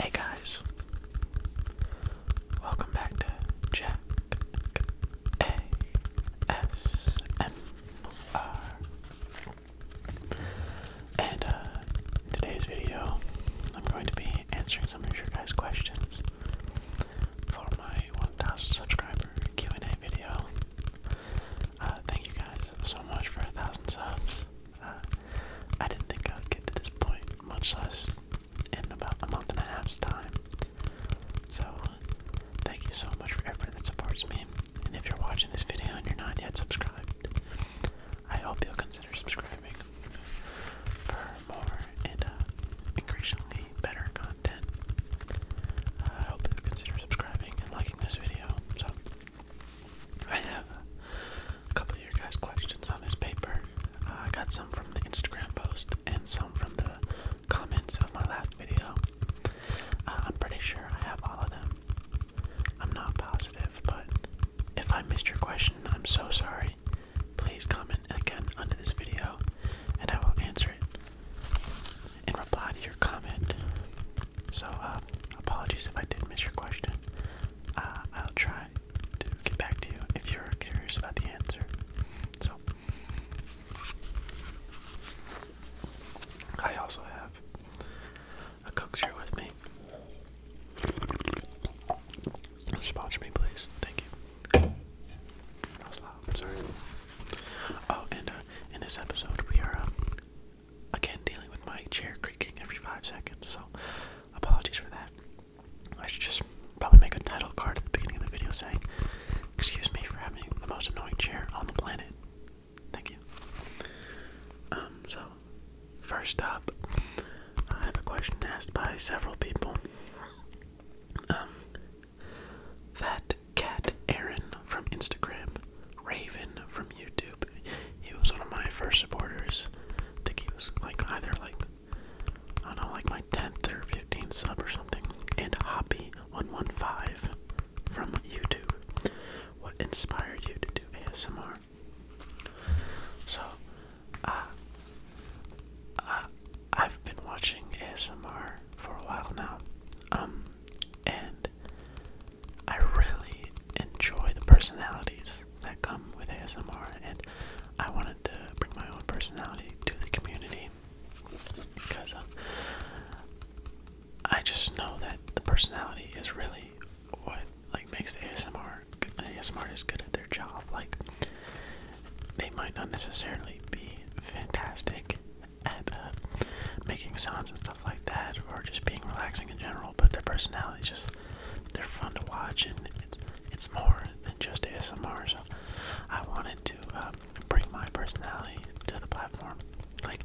Hey guys, welcome back to Jack A S M R. And uh, in today's video, I'm going to be answering some of your guys' questions for my 1,000 subscriber Q&A video. Uh, thank you guys so much for a thousand subs. Uh, I didn't think I would get to this point, much less in about a month and a half's time. So, thank you so much for everyone that supports me. And if you're watching this video and you're not yet subscribed, I hope you'll consider subscribing for more and uh, increasingly better content. I hope you consider subscribing and liking this video. So, I have a couple of your guys' questions on this paper. Uh, I got some from the Instagram post and some from the comments of my last video. Uh, I'm pretty sure I have all of them. I'm not positive, but if I missed your question, I'm so sorry. Please comment again under this video and I will answer it and reply to your comment. So, uh, apologies if I did miss your question. Uh, I'll try to get back to you if you're curious about the answer. So, I also have a cook's here with me. Sponsor me, please. Thank you. That was loud. sorry. Oh, and uh, in this episode, we are um, again dealing with my chair creaking every five seconds, so apologies for that. I should just probably make a title card at the beginning of the video saying, Excuse me for having the most annoying chair on the planet. Thank you. Um, so, first up, I have a question asked by several people. Um, cat Aaron from Instagram, Raven from YouTube, he was one of my first supporters. I think he was like either like I don't know, like my 10th or 15th sub or something. And Hoppy115 from YouTube. What inspired you to do ASMR? So, uh, uh, I've been watching ASMR for a while now. Um, and I really enjoy the personalities that come with ASMR, and I wanted to bring my own personality to the community because um, I just know that the personality is really what like makes the ASMR ASMR is good at their job. Like they might not necessarily be fantastic at uh, making sounds and stuff like that, or just being relaxing in general. But their personalities just they're fun to watch, and it's it's more than just ASMR. So I wanted to um, bring my personality to the platform. Like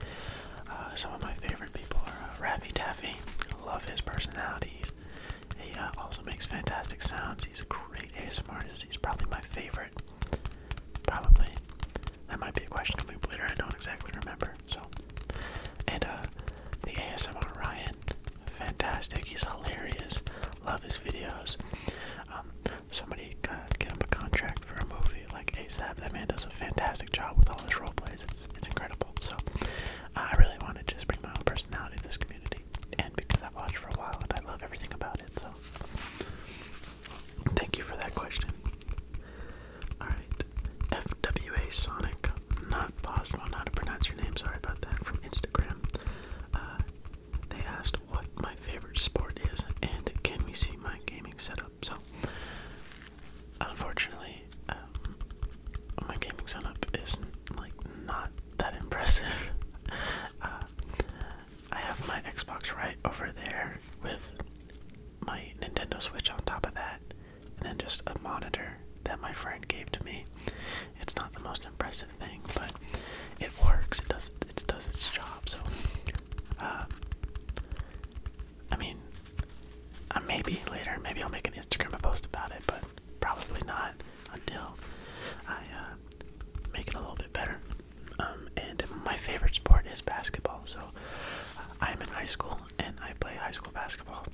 uh, some of my favorite people are uh, Raffy Taffy. I love his personality. he also makes fantastic sounds. He's a great ASMR artist. He's probably my favorite. Probably. That might be a question of up later. I don't exactly remember. So, and uh, the ASMR Ryan, fantastic. He's hilarious. Love his videos. Um, somebody get him a contract for a movie like ASAP. That man does a fantastic job with all his role plays. It's it's incredible. So, I really want to just bring my own personality to this community, and because I've watched for a while and I love everything about it. So. Thank you for that question. Alright. FWA Sonic. Not possible on how to pronounce your name. Sorry about that. From Instagram. Uh, they asked what my favorite sport is and can we see my gaming setup. So, unfortunately, um, my gaming setup is like not that impressive. Uh, I have my Xbox right over there with my Nintendo Switch on top of that, and then just a monitor that my friend gave to me. It's not the most impressive thing, but it works. It does it does its job. So, uh, I mean, uh, maybe later, maybe I'll make an Instagram post about it, but probably not until I uh, make it a little bit better. Um, and my favorite sport is basketball, so I'm in high school and I play high school basketball.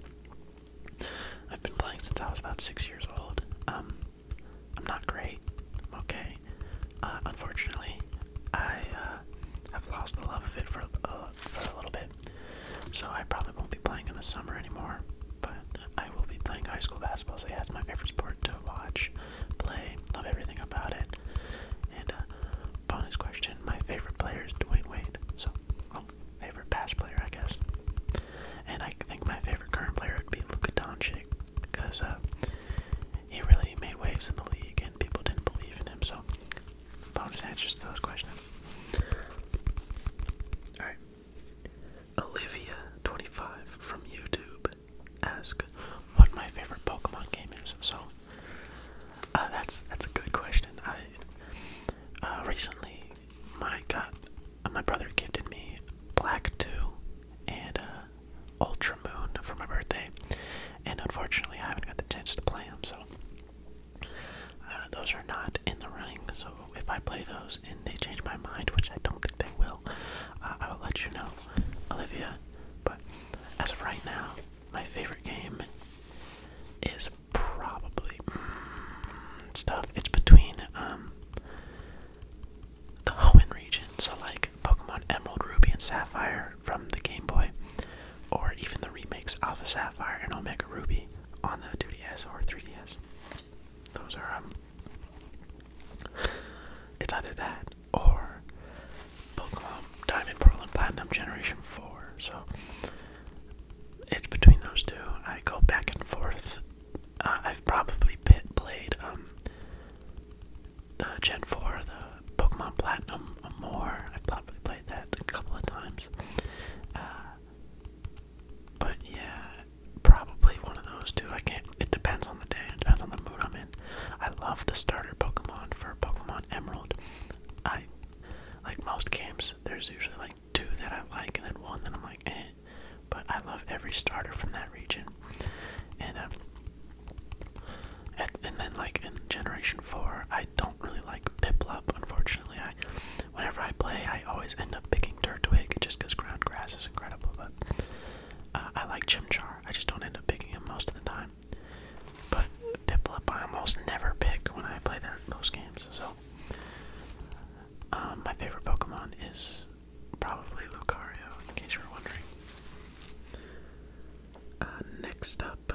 I've been playing since I was about six years old. Um, I'm not great, okay? Uh, unfortunately, I uh, have lost the love of it uh, for, a little bit. So I probably won't be playing in the summer anymore, but I will be playing high school basketball. So yeah, it's my favorite sport to watch, play, love everything about it. And Bonus question: My favorite player is Dwayne Wade. So, well, favorite past player, I guess. And I think my favorite current player would be Luka Doncic because uh, he really made waves in the league, and people didn't believe in him. So, bonus answers to those questions. All right. Olivia25 from YouTube asks what my favorite Pokemon game is. So uh, that's that's a good question. I uh, recently my got uh, my brother gifted me Black Two and Ultra Moon for my birthday, and unfortunately I haven't got the chance to play them. So those are not in the running. So if I play those and they change my mind, which I don't think they will, I will let you know, Olivia. But as of right now, my favorite game is probably mm, stuff. It's between um the Hoenn region, so like Pokemon Emerald, Ruby, and Sapphire from the Game Boy, or even the remakes Alpha Sapphire and Omega Ruby on the 2DS or 3DS. Those are um. It's either that or Pokemon Diamond, Pearl, and Platinum Generation 4. So it's between those two. I go back and forth. Uh, I've probably played um, the Gen 4, the Pokemon Platinum more. I've probably played that a couple of times. Uh, but yeah, probably one of those two. I can't, it depends on the day, it depends on the mood I'm in. I love the starter Pokemon for Pokemon Emerald. I like most games, there's usually like two that I like and then one that I'm like, eh. But I love every starter from that region. And um, and then like in generation four, I don't really like Piplop. unfortunately. I whenever I play I always end up picking Dirt Twig just because ground grass is incredible, but uh, I like Chimchar. I just don't end up picking him most of the time. But Piplup I almost never pick when I play those games, so. Um, my favorite Pokemon is probably Lucario, in case you were wondering. Uh, next up,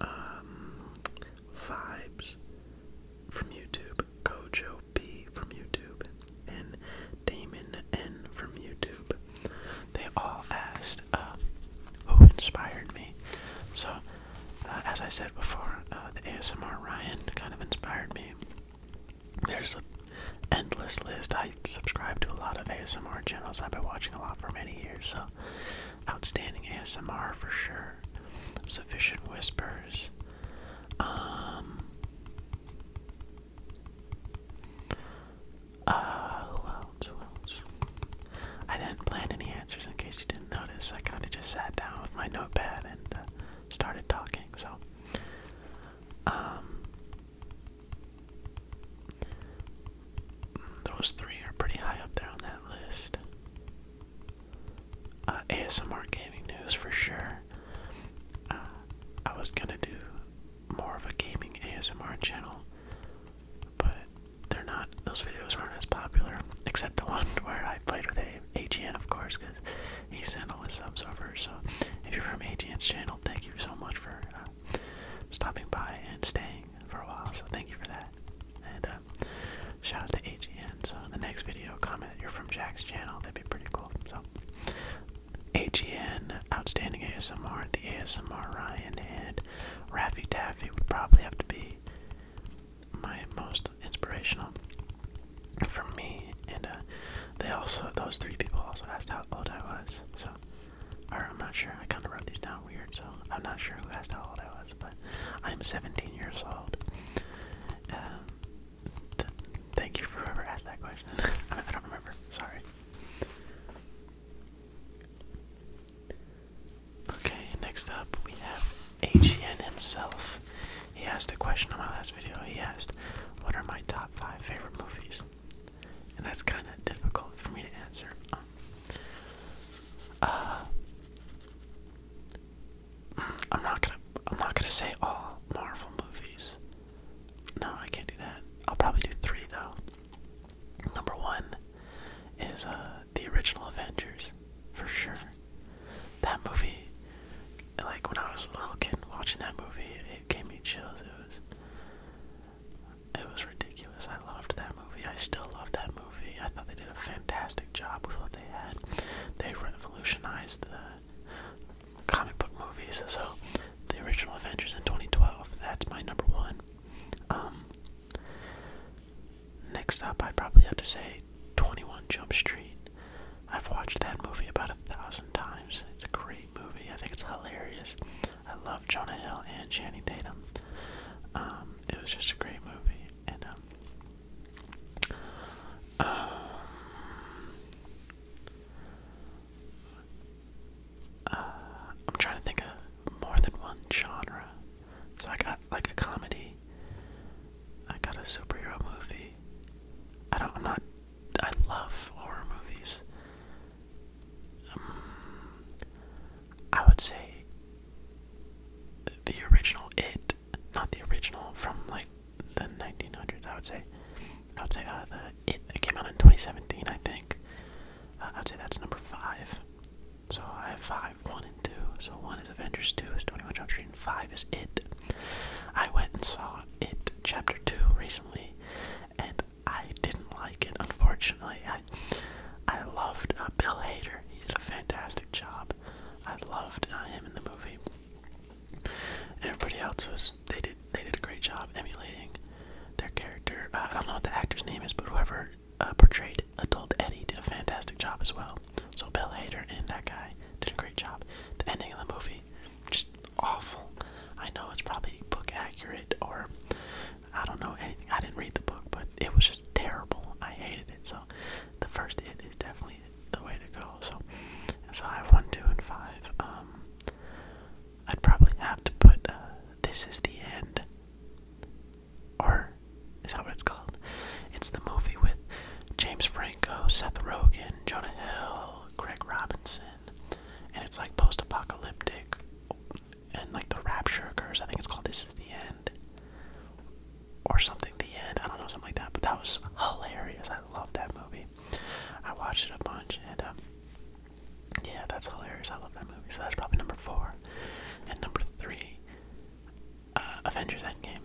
um, Vibes from YouTube, Gojo P from YouTube, and Damon N from YouTube. They all asked uh, who inspired me. So, uh, as I said before, uh, the ASMR Ryan kind of inspired me. There's an endless list. I subscribe to a lot of ASMR channels. I've been watching a lot for many years. So, outstanding ASMR for sure. Sufficient whispers. Um, uh, who else? Who else? I didn't plan any answers in case you didn't notice. I kind of just sat down with my notepad and uh, started talking. So, um, those three are pretty high up there on that list. Uh, ASMR gaming news for sure. Uh, I was gonna do more of a gaming ASMR channel, but they're not, those videos aren't as popular, except the one where I played with a AGN, of course, because he sent all his subs over. So if you're from AGN's channel, thank you so much for uh, stopping by and staying for a while. So thank you for that. And uh, shout out to AGN. So the next video, comment you're from Jack's channel. That'd be pretty cool. So AGN, Outstanding ASMR, the ASMR Ryan, and Raffy Taffy would probably have to be my most inspirational for me. And uh, they also, those three people also asked how old I was. So, I'm not sure. I kind of wrote these down weird, so I'm not sure who asked how old I was, but I'm 17 years old. Um, thank you for ever asked that question. I don't remember. Sorry. Okay, next up we have AGN himself. He asked a question on my last video. He asked, What are my top five favorite movies? And that's kind of difficult for me to answer. Um, uh, I'm not gonna. I'm not gonna say all Marvel movies. No, I can't do that. I'll probably do three though. Number one is uh, the original Avengers, for sure. That movie, like when I was a little kid watching that movie, it gave me chills. It was, it was ridiculous. I loved that movie. I still love that movie. I thought they did a fantastic job with what they had. They revolutionized the comic book movies. So the original Avengers in 2012. That's my number one. Um, next up, I would probably have to say 21 Jump Street. I've watched that movie about a thousand times. It's a great movie. I think it's hilarious. I love Jonah Hill and Channing Tatum. Um, it was just a great movie, and um, uh, I'm trying to think of more than one genre. So I got like a comedy. I got a superhero movie. I don't. I'm not. I love horror movies. Um, I would say the original It, not the original from like the 1900s. I would say. I would say uh, the it, came out in 2017, I think. Uh, I'd say that's number five. So I have five, one and two. So one is Avengers, two is 21 Jump and five is It. I went and saw It Chapter Two recently, and I didn't like it. Unfortunately, I I loved uh, Bill Hader. He did a fantastic job. I loved uh, him in the movie. Everybody else was they did they did a great job emulating their character. Uh, I don't know what the actor's name is, but whoever uh, portrayed adult Eddie did a fantastic job as well. So Bill Hader and that guy did a great job. The ending of the movie, just awful. I know it's probably book accurate or I don't know anything. I didn't read the book, but it was just terrible. I hated it. So the first hit is definitely the way to go. So so I have one, two, and five. Um, I'd probably have to put uh, This Is the End. Or is that what it's called? It's the movie with James Franco, Seth Rogen, Jonah Hill, Greg Robinson. And it's like post apocalyptic. And like the rapture occurs. I think it's called This Is the End. Or something, The End. I don't know, something like that. But that was hilarious. I love that movie. I watched it a bunch, and um, yeah, that's hilarious. I love that movie. So that's probably number four. And number three, uh, Avengers Endgame.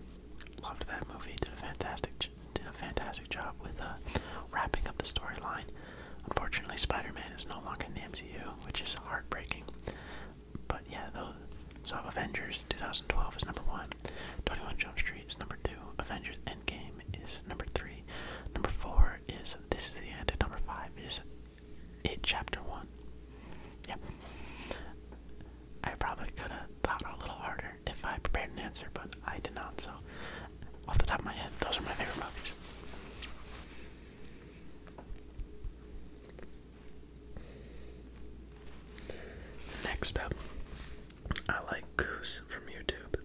Loved that movie. Did a fantastic, did a fantastic job with uh, wrapping up the storyline. Unfortunately, Spider-Man is no longer in the MCU, which is heartbreaking. But yeah, So Avengers 2012 is number one. 21 Jump Street is number two. Avengers Endgame is number three. Number four is this is the end. number five is it chapter one. Yep. I probably could have thought a little harder if I prepared an answer, but I did not. So, off the top of my head, those are my favorite movies. Next up I like Goose from YouTube.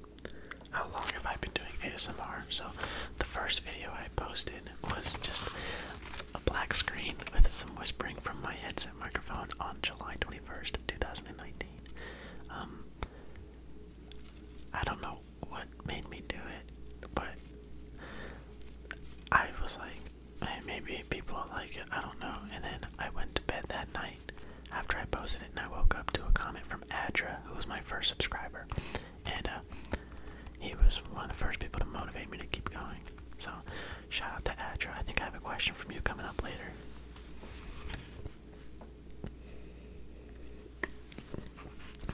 How long have I been doing ASMR? So, the first video I posted was just a black screen with some whispering from my headset microphone on July 21st, 2019. Um, I don't know what made me do it, but I was like, maybe people like it, I don't know. And then I went to bed that night after I posted it, and I woke up to a comment from Adra, who was my first subscriber, and uh, he was one of the first people to motivate me to keep going. So, shout out to Adra. I think I have a question from you coming up later.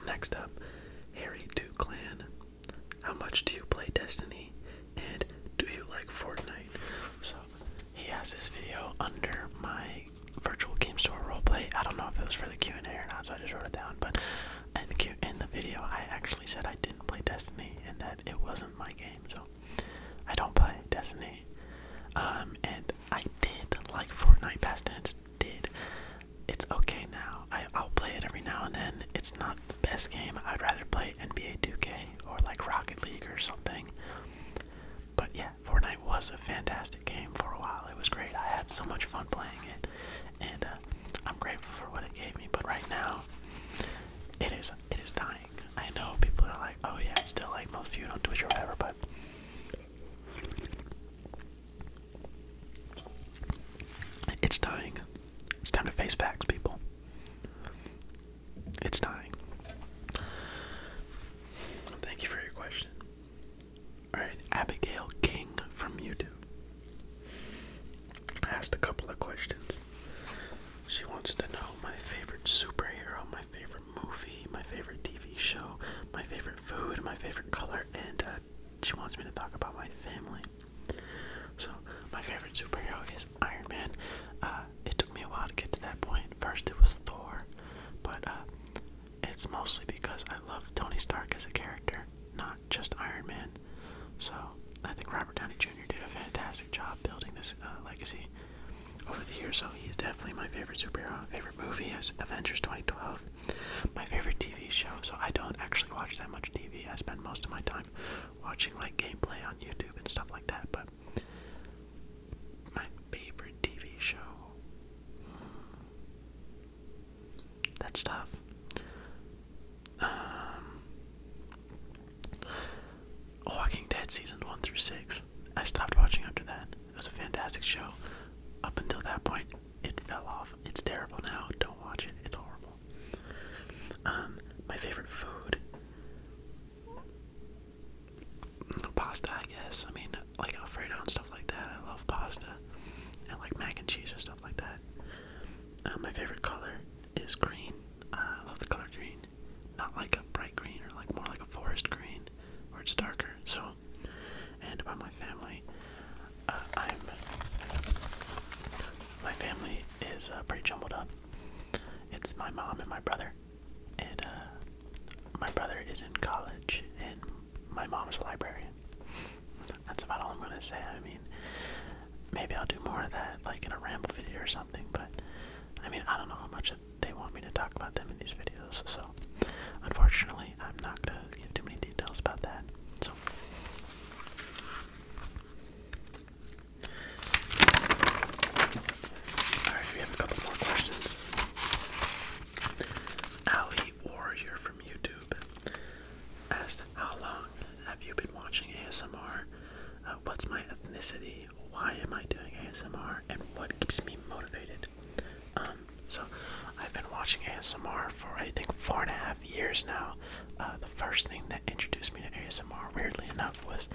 Next up, Harry Two Clan. How much do you play Destiny? And do you like Fortnite? So he has this video under my virtual game store roleplay. I don't know if it was for the Q and A or not, so I just wrote it down. But in the in the video, I actually said I didn't play Destiny and that it wasn't my game. So I don't play Destiny. Um, and I did like Fortnite. Past tense did. It's okay now. I, I'll play it every now and then. It's not the best game. I'd rather play NBA 2K or like Rocket League or something. But yeah, Fortnite was a fantastic game for a while. It was great. I had so much fun playing it, and uh, I'm grateful for what it gave me. But right now, it is it is dying. I know people are like, oh yeah, it's still like most of you don't do Twitch or whatever, but it's dying. It's time to face facts, people. It's dying. Thank you for your question. Alright, Abigail King from YouTube asked a couple of questions. She wants to know my favorite superhero, my favorite movie, my favorite TV show, my favorite food, my favorite color, and uh, she wants me to talk about my family. So, my favorite superhero is Iron Man. Uh, it took me a while to get to that point. First, it was Thor, but uh, it's mostly because I love Tony Stark as a character, not just Iron Man. So I think Robert Downey Jr. did a fantastic job building this uh, legacy over the years. So he is definitely my favorite superhero. Favorite movie is Avengers 2012. My favorite TV show. So I don't actually watch that much TV. I spend most of my time watching like gameplay on YouTube and stuff like that. But my favorite TV show. That's tough. Um, Walking Dead seasons one through six. I stopped watching after that. It was a fantastic show. Up until that point, it fell off. It's terrible now. Don't watch it. It's horrible. Um, my favorite food pasta, I guess. I mean, like Alfredo and stuff like that. I love pasta and like mac and cheese and stuff like that. Uh, my favorite color is green. Uh, I love the color green. Not like a bright green or like more like a forest green where it's darker. So, and about my family, uh, I'm. My family is pretty jumbled up. It's my mom and my brother and uh, my brother is in college, and my mom's a librarian. That's about all I'm gonna say. I mean, maybe I'll do more of that, like in a ramble video or something. But I mean, I don't know how much they want me to talk about them in these videos. So, unfortunately, I'm not gonna give too many details about that. So, Alright, we have a couple more questions. Warrior from YouTube asked, How long have you been watching ASMR? Uh, what's my ethnicity? Why am I doing ASMR? And what keeps me motivated? Um, so, I've been watching ASMR for I think four and a half years now. Uh, the first thing that introduced me to ASMR, weirdly enough, was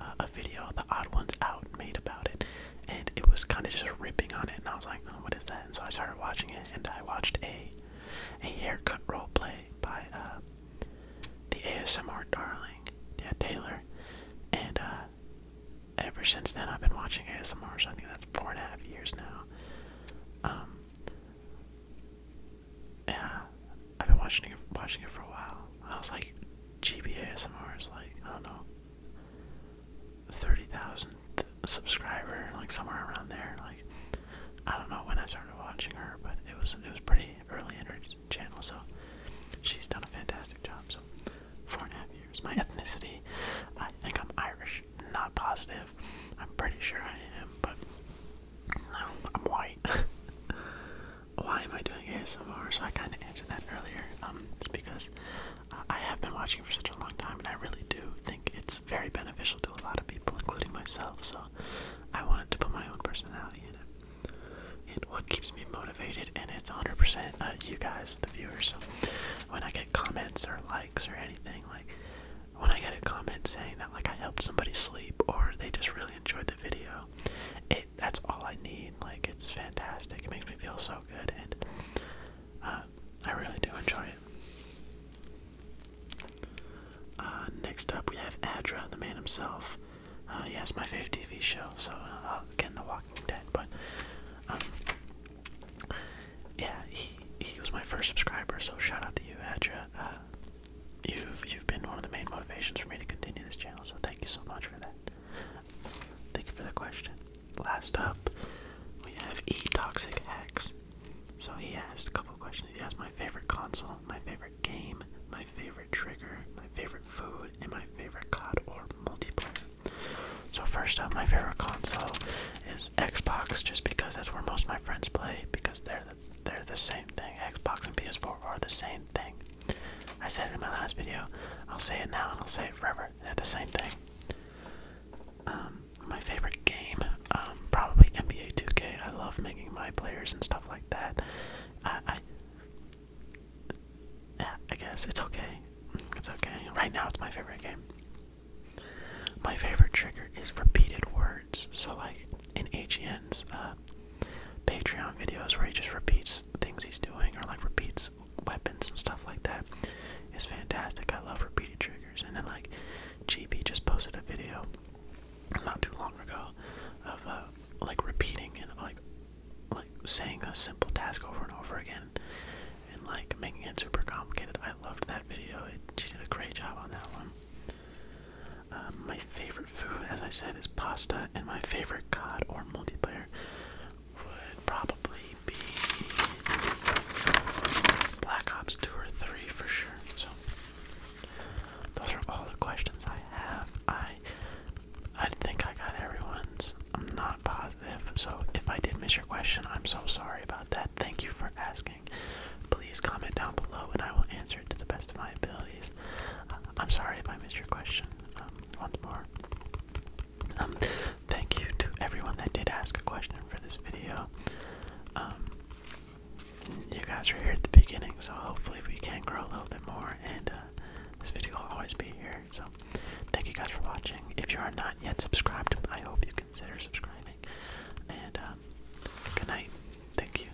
uh, a video, the Odd Ones Out, made about it, and it was kind of just ripping on it, and I was like, oh, what is that? And so I started watching it, and I watched a a haircut role play by uh, the ASMR darling, yeah, Taylor, and uh, ever since then I've been watching ASMR, so I think that's four and a half years now. Um, yeah, I've been watching it, watching it for a while. I was like GB ASMR is like, I don't know, 30,000 subscriber, like somewhere around there. Like, I don't know when I started watching her, but it was it was pretty early in her channel, so she's done a fantastic job. So, four and a half years. My ethnicity, I think I'm Irish. Not positive. I'm pretty sure I am, but I'm, I'm white. why am I doing ASMR? So I kind of answered that earlier, um, because uh, I have been watching for such a long time, and I really do think it's very beneficial to a lot of people, including myself. So I wanted to put my own personality in it. And what keeps me motivated, and it's 100% uh, you guys, the viewers. when I get comments or likes or anything, like when I get a comment saying that like I helped somebody sleep or they just really enjoyed the video, it that's all I need. Like it's fantastic. It makes me feel so good, and uh, I really do enjoy it. Uh, next up, we have Adra, the man himself. Uh, yeah, it's my favorite TV show. So uh, again, The Walking Dead, but um, yeah, he he was my first subscriber. So shout out to you, Adra. Uh, You've you've been one of the main motivations for me to continue this channel, so thank you so much for that. Thank you for the question. Last up, we have E Toxic X. So he asked a couple questions. He asked my favorite console, my favorite game, my favorite trigger, my favorite food, and my favorite COD or multiplayer. So first up, my favorite console is Xbox, just because that's where most of my friends play, because they're they're the same thing. Xbox and PS4 are the same thing. I said it in my last video. I'll say it now and I'll say it forever. they the same thing. Um, my favorite game, um, probably NBA 2K. I love making my players and stuff like that. I, guess it's okay. It's okay. Right now, it's my favorite game. My favorite trigger is repeated words. So, like in AGN's uh, Patreon videos where he just repeats things he's doing or like repeats weapons and stuff like that is fantastic. I love repeating triggers. And then like GB just posted a video not too long ago of uh, like repeating and like like saying a simple task over and over again and like making it super complicated. I loved that video. she did a great job on that one. Um, my favorite food, as I said, is pasta, and my favorite COD or multiplayer would probably be Black Ops 2 or 3 for sure. So, those are all the questions I have. I I think I got everyone's. I'm not positive. So, if I did miss your question, I'm so sorry about that. Thank you for asking. Please comment down below and I will answer it to the best of my abilities. Uh, I'm sorry if I missed your question um, once more. Um, thank you to everyone that did ask a question for this video. Um, you guys were here at the beginning, so hopefully we can grow a little bit more, and uh, this video will always be here. So, thank you guys for watching. If you are not yet subscribed, I hope you consider subscribing. And good night. Thank you.